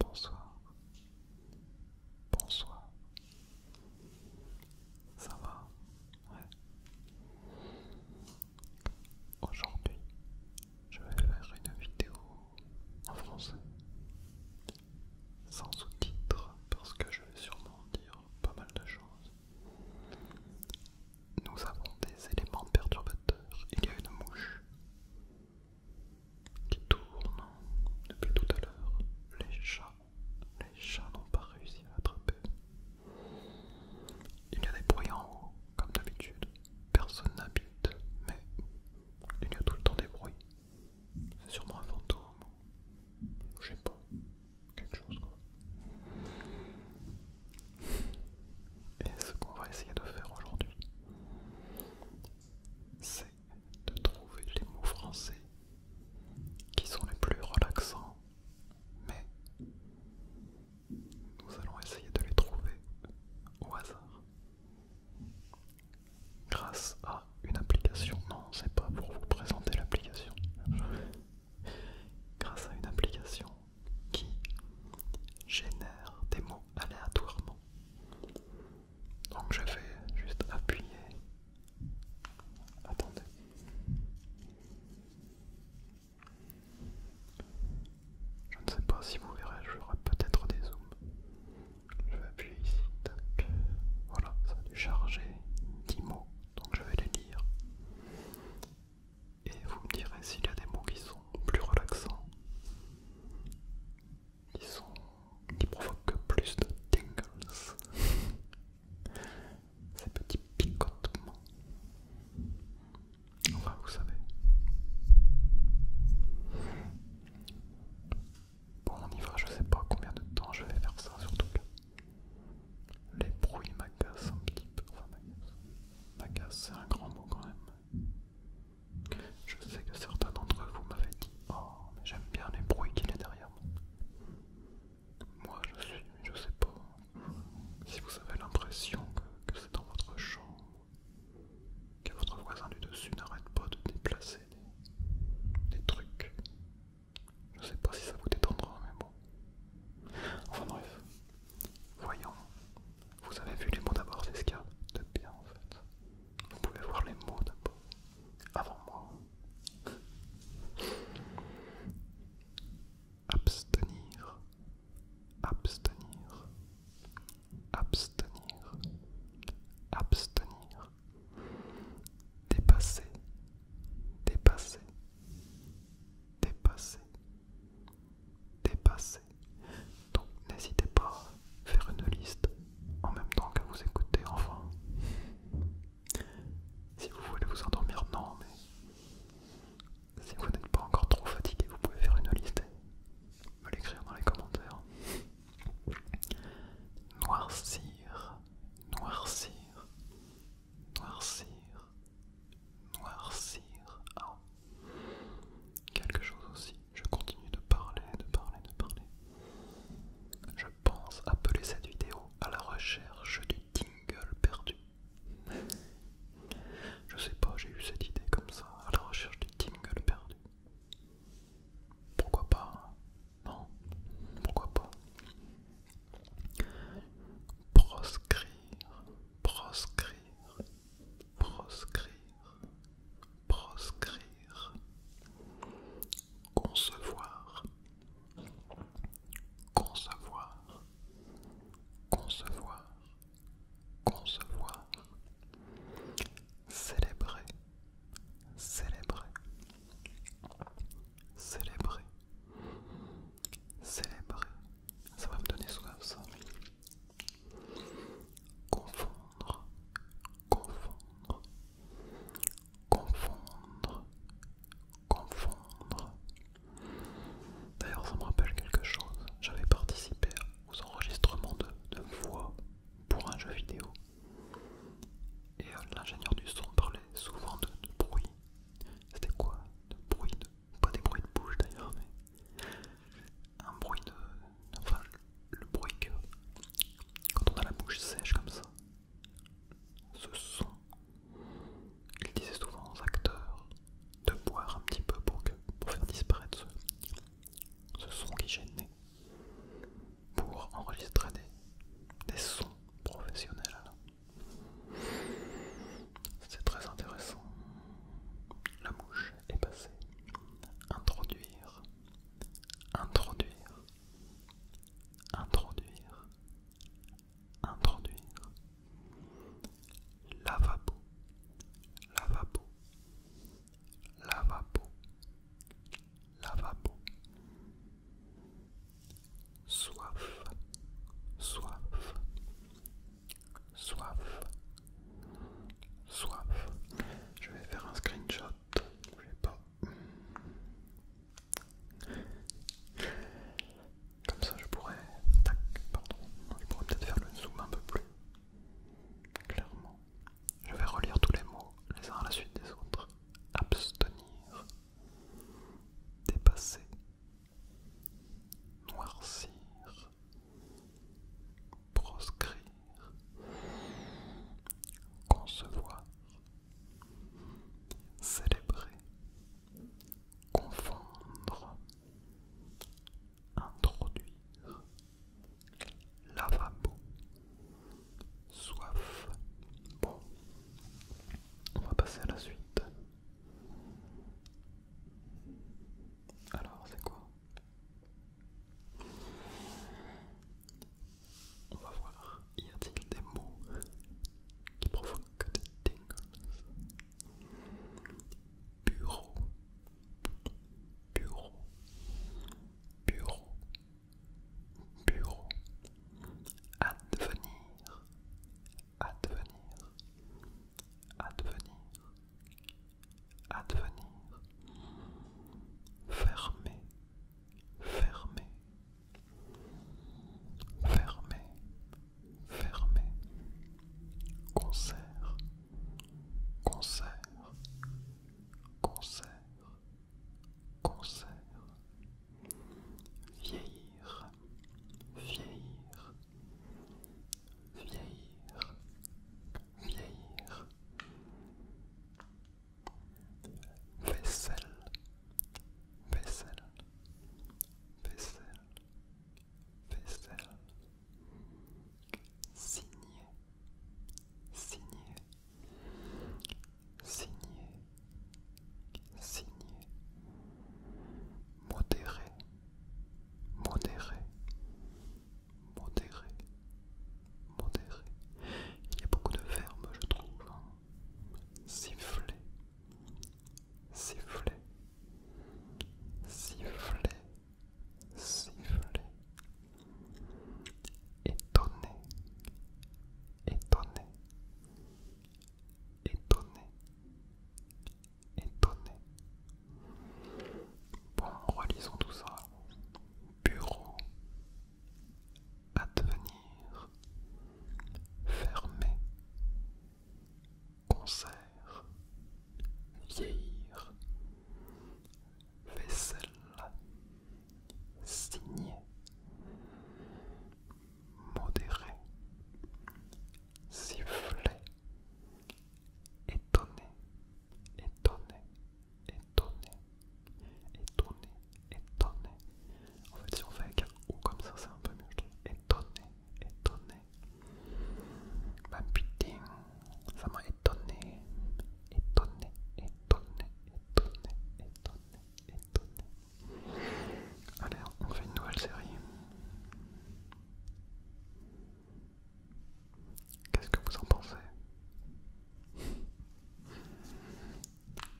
Bonsoir. Bonsoir. Ça va Ouais. Aujourd'hui, je vais faire une vidéo en français. Sans sous-titres parce que je vais sûrement dire pas mal de choses. Nous avons des éléments perturbateurs. Il y a une mouche qui tourne depuis tout à l'heure. Les chats, les chats n'ont pas réussi à l'attraper. Il y a des bruits en haut, comme d'habitude. Personne n'habite, mais il y a tout le temps des bruits. C'est sûrement un fantôme. Je sais pas. Quelque chose quoi. Et ce qu'on va essayer de faire aujourd'hui, c'est de trouver les mots français qui sont les plus relaxants, mais nous allons essayer de les trouver au hasard grâce à une application. Non, c'est pas pour vous présenter l'application grâce à une application qui génère des mots aléatoirement. Donc je vais juste appuyer. Attendez. Je ne sais pas si vous verrez, j'aurai peut-être des zooms. Je vais appuyer ici, Voilà, ça a dû charger 10 mots, donc je vais les lire et vous me direz s'il y a des mots qui sont plus relaxants, qui, sont, qui provoquent plus de tingles, ces petits picotements. Enfin, vous savez. Bon, on y va, je sais pas combien de temps je vais faire ça, surtout que les bruits m'agacent un petit peu. Agace, c'est un grand mot quand même. Je sais que certains d'entre vous m'avaient dit Oh, mais j'aime bien les bruits qu'il a derrière moi. Moi, je suis, je sais pas si vous avez l'impression que, c'est dans votre chambre, que votre voisin du dessus n'arrête pas de déplacer des, des trucs. Je sais pas si ça vous détendra, mais bon. Enfin bref, Voyons, vous avez vu les mots d'abord, c'est ce qu'il y a de bien en fait. Vous pouvez voir les mots d'abord, avant moi. Abstenir, abstenir, abstenir, abstenir. Dépasser, dépasser, dépasser, dépasser. Donc n'hésitez pas à faire une liste en même temps que vous écoutez, enfin. Si vous voulez vous endormir, non, mais si vous n'êtes pas encore trop fatigué, vous pouvez faire une liste et me l'écrire dans les commentaires. Noircir, noircir, noircir, noircir ah. quelque chose aussi. Je continue de parler, de parler, de parler. Je pense appeler cette vidéo à la recherche du tingle perdu. Je sais pas, j'ai eu cette idée comme ça, à la recherche du tingle perdu. Pourquoi pas hein Non Pourquoi pas proscrire, proscrire, proscrire, proscrire, concevoir, concevoir, concevoir, concevoir, célébrer, célébrer, célébrer. Célébrer, ça va me donner soif ça. Confondre, confondre, confondre, confondre. D'ailleurs, ça me rappelle quelque chose. J'avais participé aux enregistrements de, voix pour un jeu vidéo. Et euh, l'ingénieur du son parlait souvent de, de bruit. C'était quoi De bruit de pas des bruits de bouche d'ailleurs, mais un bruit de. Enfin, le bruit que. Quand on a la bouche sèche comme ça, ce son, ils disait souvent aux acteurs de boire un petit peu pour, que, pour faire disparaître ce, son qui gênait, pour enregistrer des, des sons professionnels. C'est très intéressant. La mouche est passée. Introduire. Introduire. Introduire. Introduire. Lavabo. Lavabo. Lavabo. Lavabo soif, soif, soif, soif. Je vais faire un screenshot, je vais pas. Comme ça, je pourrais. Tac, pardon. Je pourrais peut-être faire le zoom un peu plus. Clairement. Je vais relire tous les mots, les uns à la suite des autres. Abstenir. Dépasser noircir, proscrire, concevoir, célébrer, confondre, introduire, lavabo, soif. Bon, on va passer à la suite. Alors, c'est quoi On va voir, y a-t-il des mots qui provoquent des tingles Bureau, bureau, bureau, bureau, advenir, advenir, advenir, advenir, fermer, fermer, fermer, fermer, concert, concert, concert, concert vieillir, vieillir, vieillir, vieillir, vaisselle, vaisselle, vaisselle, vaisselle, signer, signer, signer signé, modéré, modéré, modéré, modéré. Il y a beaucoup de verbes, je trouve. Siffler, hein. siffler, siffler, siffler. Étonné, étonné, étonné, étonné. Bon, relisons tout ça. Bureau, advenir, Fermer. concert, vieillir, vaisselle, Signer modéré, sifflé, étonné, étonné, étonné, étonné, étonné. En fait, si on fait avec un ou comme ça, c'est un peu mieux, Étonné, étonné. ma bah, putain, ça m'a étonné, étonné, étonné, étonné, étonné étonné. Allez, on fait une nouvelle série. Qu'est-ce que vous en pensez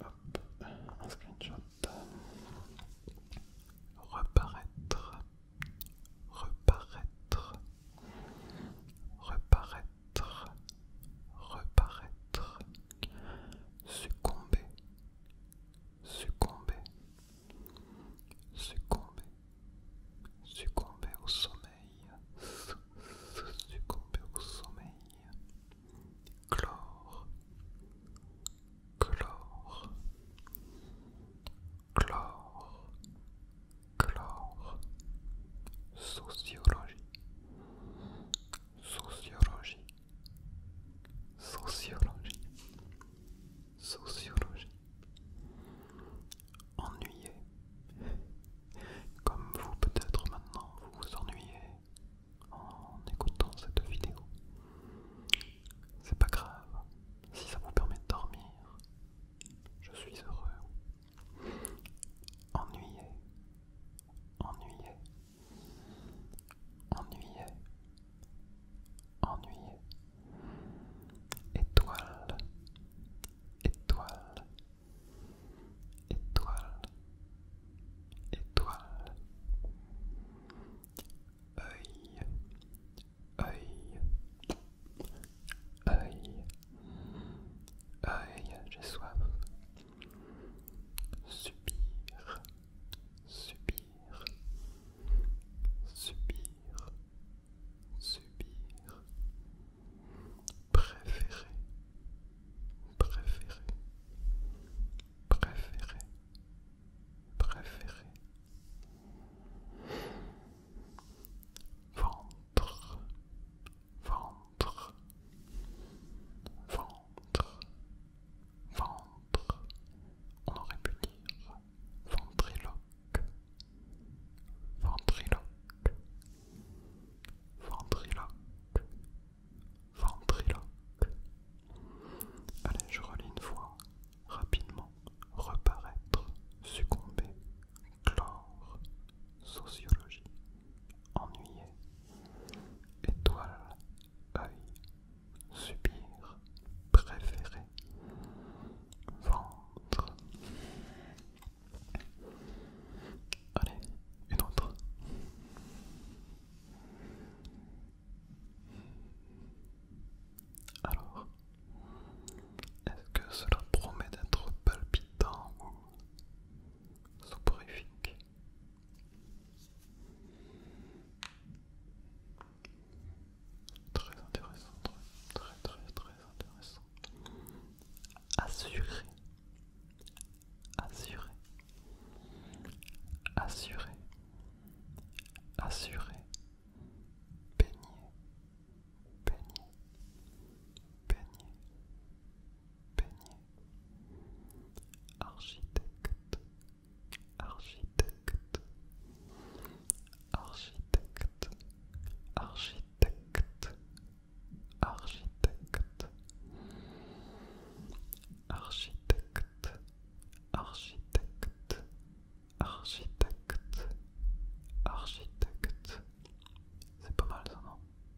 Hop, un screenshot. Reparaître. Reparaître. Reparaître. Reparaître. Succomber succomber, succomber, succomber au sommeil, succomber au sommeil, chlore, chlore, chlore, chlore, sociologie, sociologie. Sociologie. Sociologie. Ennuyé. Comme vous peut-être maintenant vous vous ennuyez en écoutant cette vidéo. C'est pas grave. Si ça vous permet de dormir, je suis heureux. Ennuyé. Ennuyé ennuyé, ennuyé, Étoile, étoile, étoile, étoile. Œil, œil, œil, œil, j'ai soif. Subir subir, subir, subir, préféré, préféré, préféré, préféré, ventre, ventre, ventre. Ventre, ventre, on aurait pu dire ventriloque, ventriloque, ventriloque, ventriloque. Allez, je relis une fois, rapidement, reparaître, succomber, chlore, sociologie, ennuyé. Étoile, œil, subir, préféré, ventre. Allez, une autre. Alors, est-ce que cela promet d'être palpitant ou soporifique Très intéressant, très très très intéressant. Assurer, assurer, assurer, assurer, baigner, baigner, baigner, peigner, architecte, architecte, architecte, architecte, architecte, architecte, architecte, architecte, architecte. C'est pas mal ça, non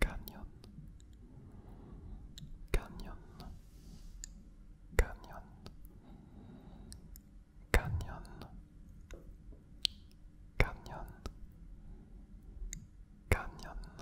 Canyon Canyon Canyon Canyon Canyon Canyon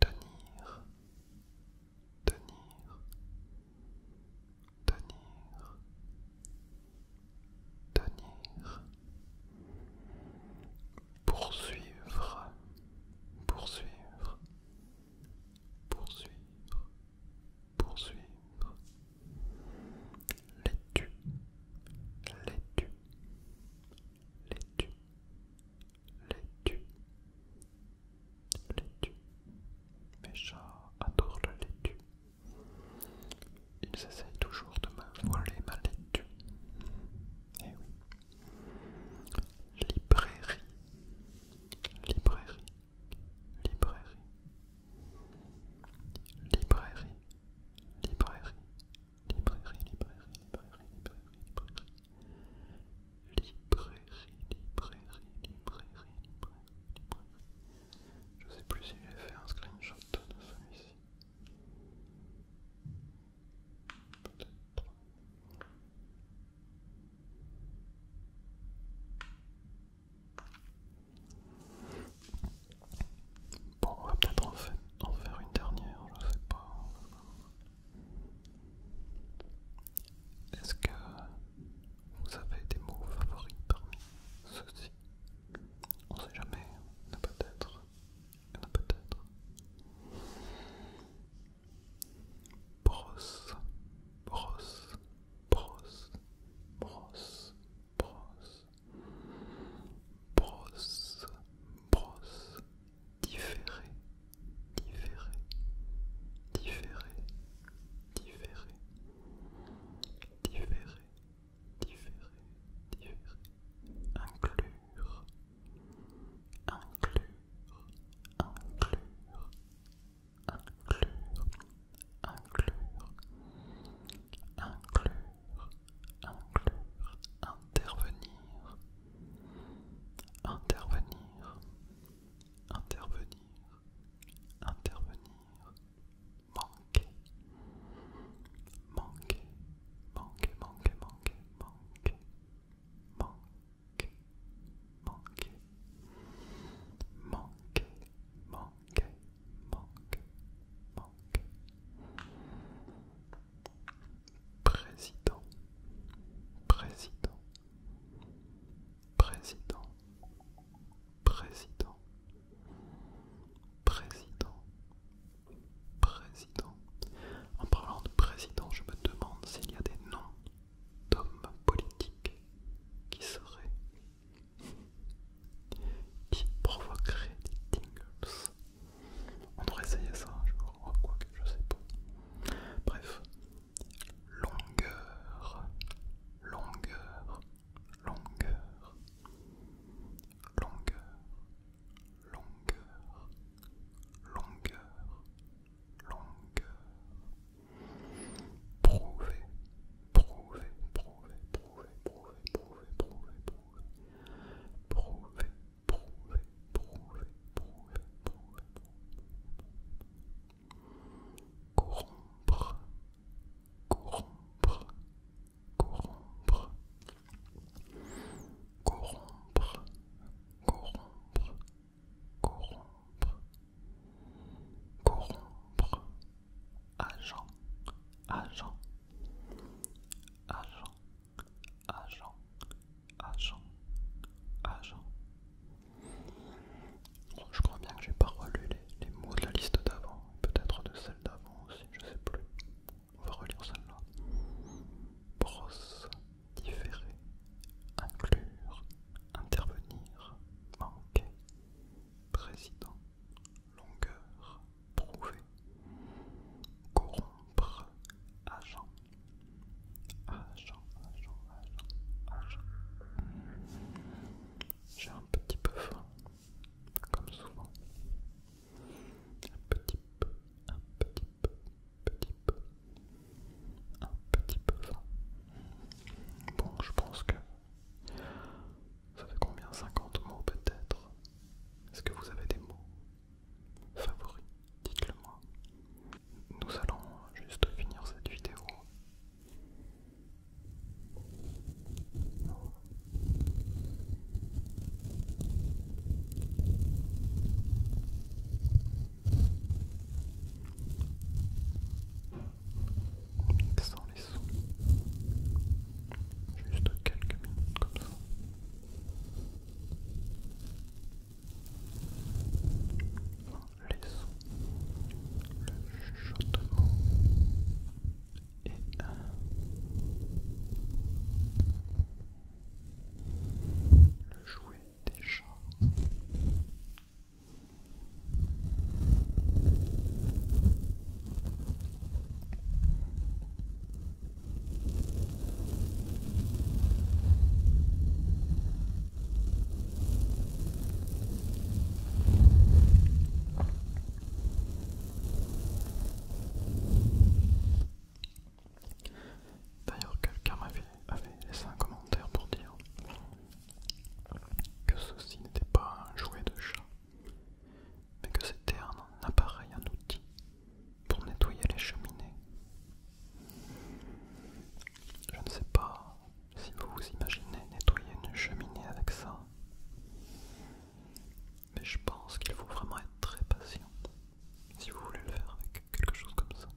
Tenir Tenir tenir, tenir, poursuivre, poursuivre, poursuivre, poursuivre, laitue, laitue, laitue, laitue, laitue. Mes chats adorent la laitue. Ils essayent toujours de me voler ma lettre. Eh oui. Librairie. Librairie. Librairie. Librairie. Librairie, librairie, librairie, librairie, librairie. Librairie, librairie, librairie, librairie, librairie. Je sais plus si j'ai fait un screenshot de celui-ci. Peut-être. Bon, on va peut-être en, faire une dernière, je sais pas. Est-ce que vous avez des mots favoris parmi ceux-ci On sait jamais, il y en a peut-être. Il y en a peut-être. Brosse, brosse, brosse, brosse, brosse. Brosse, brosse, différé, différé, différé, différé, différé, différer, différer, inclure, inclure, inclure, inclure, inclure, inclure, inclure, intervenir, intervenir, intervenir, intervenir. Manquer. manque, manque, manque, manque, manque, manque, manque, manque, manque, président, président, président, président. Président. Président. En parlant de président, je me demande s'il y a des noms d'hommes politiques qui seraient. qui provoqueraient des tingles. On devrait essayer ça Je crois oh, quoi que je sais pas. Bref. Longueur. Longueur longueur, longueur, longueur, longueur, longueur. Prouver, prouver, prouver, prouver, prouver, prouver, prouver, prouver. Prouver, corrompre, corrompre, corrompre, corrompre, corrompre, corrompre, corrompre, agent, agent, agent, agent, agent, agent. Oh, je crois bien que j'ai pas relu les, les mots de la liste d'avant, peut-être de celle d'avant aussi, je sais plus. On va relire celle-là. Brosse, différer, inclure, intervenir, manquer, président, longueur, prouver, corrompre, agent, agent, agent, agent, agent. J'ai un petit peu faim, comme souvent. Un petit peu, un petit peu, petit peu, un petit peu faim. Bon, je pense que ça fait combien 50 mots peut-être Est-ce que vous avez des mots favoris Dites-le moi. Nous allons juste finir cette vidéo mixant les sons, juste quelques minutes comme ça. Laissons le chuchotement et le jouet des chats. D'ailleurs, quelqu'un m'avait avait laissé un commentaire pour dire que ceci n'était pas un jouet de chat, mais que c'était un appareil, un outil pour nettoyer les cheminées. Je ne sais pas si vous vous imaginez nettoyer une cheminée avec ça. Mais je pense qu'il faut vraiment être très patient si vous voulez le faire avec quelque chose comme ça.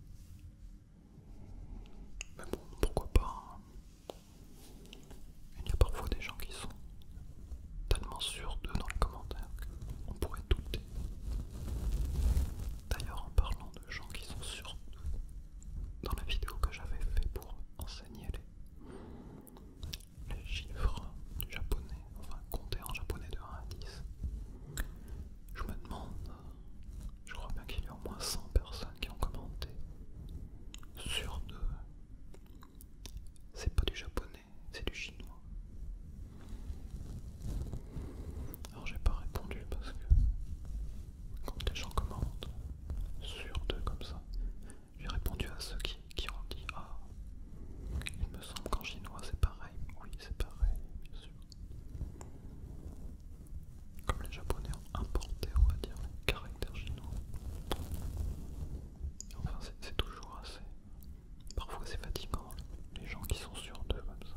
Mais bon, pourquoi pas hein. Il y a parfois des gens qui sont tellement sûrs d'eux dans les commentaires qu'on pourrait douter. D'ailleurs, en parlant de gens qui sont sûrs d'eux, dans la vidéo que j'avais fait pour enseigner les, chiffres du japonais, enfin compter en japonais de 1 à 10. Je me demande, je crois bien qu'il y a au moins 100 personnes qui ont commenté. Sur deux, c'est pas du japonais, c'est du chinois. Alors j'ai pas répondu parce que quand les gens commentent, sur deux comme ça. J'ai répondu à ceux qui, ont dit Ah, il me semble qu'en chinois c'est pareil. Oui, c'est pareil, bien sûr. Comme les japonais ont importé, on va dire, les caractères chinois. Enfin, c'est toujours assez. Parfois c'est fatigant, les gens qui sont sur d'eux comme ça.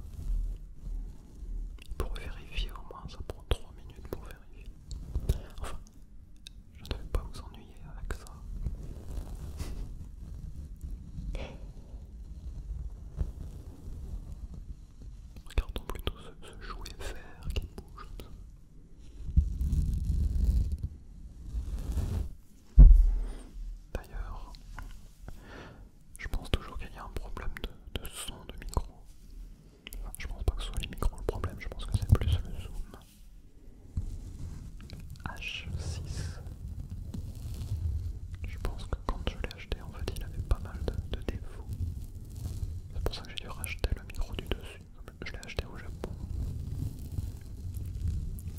Pour vérifier au moins, ça prend 3 minutes pour vérifier. Enfin, je ne vais pas vous ennuyer avec ça. Regardons plutôt ce, jouet vert qui bouge D'ailleurs, je pense toujours qu'il y a un problème de, de son de micro je pense pas que ce soit les micros le problème, je pense que c'est plus le zoom. H6. Je pense que quand je l'ai acheté, en fait, il avait pas mal de, défauts. C'est pour ça que j'ai dû racheter le micro du dessus. Je l'ai acheté au Japon.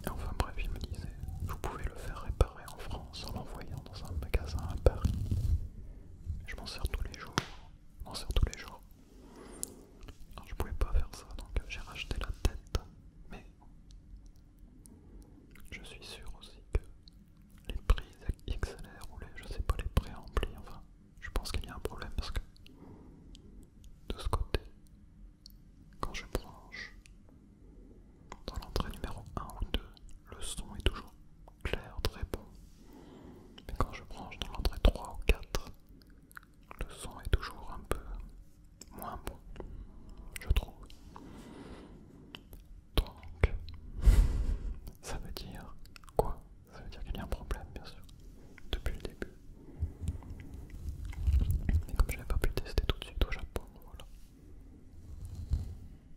enfin bref, il me disait, vous pouvez le faire réparer en France en l'envoyant dans un magasin à Paris. Je m'en sers tous les jours. Je m'en sers tous les jours. je pouvais pas faire ça, donc euh, j'ai racheté la tête. Mais je suis sûr aussi que les prises XLR ou les, je sais pas, les enfin, je pense qu'il y a un problème parce que de ce côté, quand je branche dans l'entrée numéro 1 ou 2, le son est toujours clair, très bon. Mais quand je branche dans l'entrée 3 ou 4, le son est toujours un peu moins bon, je trouve. Donc, ça veut dire quoi Ça veut dire qu'il y a un problème, bien sûr, depuis le début. Mais comme je n'avais pas pu tester tout de suite au Japon, voilà.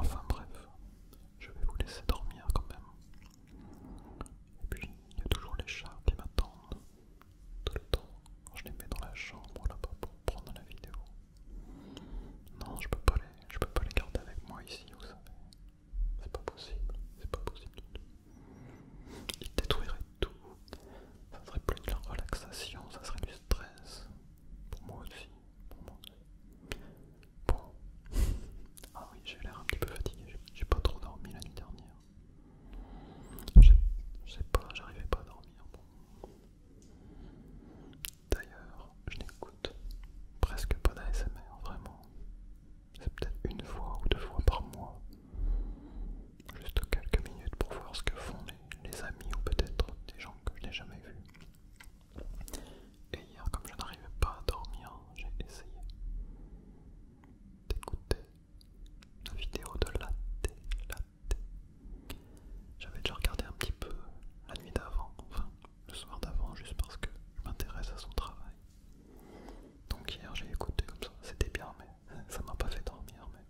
Enfin bref, je vais vous laisser dormir quand même. Et puis il y a toujours les chats qui m'attendent tout le temps. Je les mets dans la chambre là-bas pour prendre la vidéo. Non, je peux je peux pas les garder avec moi ici, vous savez. C'est pas possible, c'est pas possible. Il détruirait tout. Ça serait plus de la relaxation, ça serait du stress. Pour moi aussi, pour moi Bon. Ah oui, j'ai l'air un petit peu fatigué, j'ai pas trop dormi la nuit dernière. Je sais pas, j'arrivais pas à dormir. D'ailleurs, je n'écoute presque pas d'ASMR, vraiment c'est peut-être une fois ou deux fois par mois, juste quelques minutes pour voir ce que font les, amis ou peut-être des gens que je n'ai jamais vus. Et hier, comme je n'arrivais pas à dormir, j'ai essayé d'écouter la vidéo de la J'avais déjà regardé un petit peu la nuit d'avant, enfin le soir d'avant juste parce que je m'intéresse à son travail. Donc hier j'ai écouté comme ça, c'était bien mais ça m'a pas fait dormir mais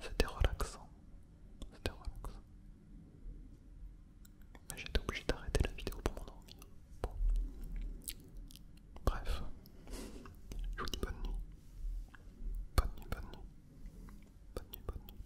c'était relaxant. C'était relaxant. Mais j'étais obligé d'arrêter la vidéo pour m'endormir. Bon. Bref. Je vous dis bonne nuit. Bonne nuit, bonne nuit. Bonne nuit, bonne nuit.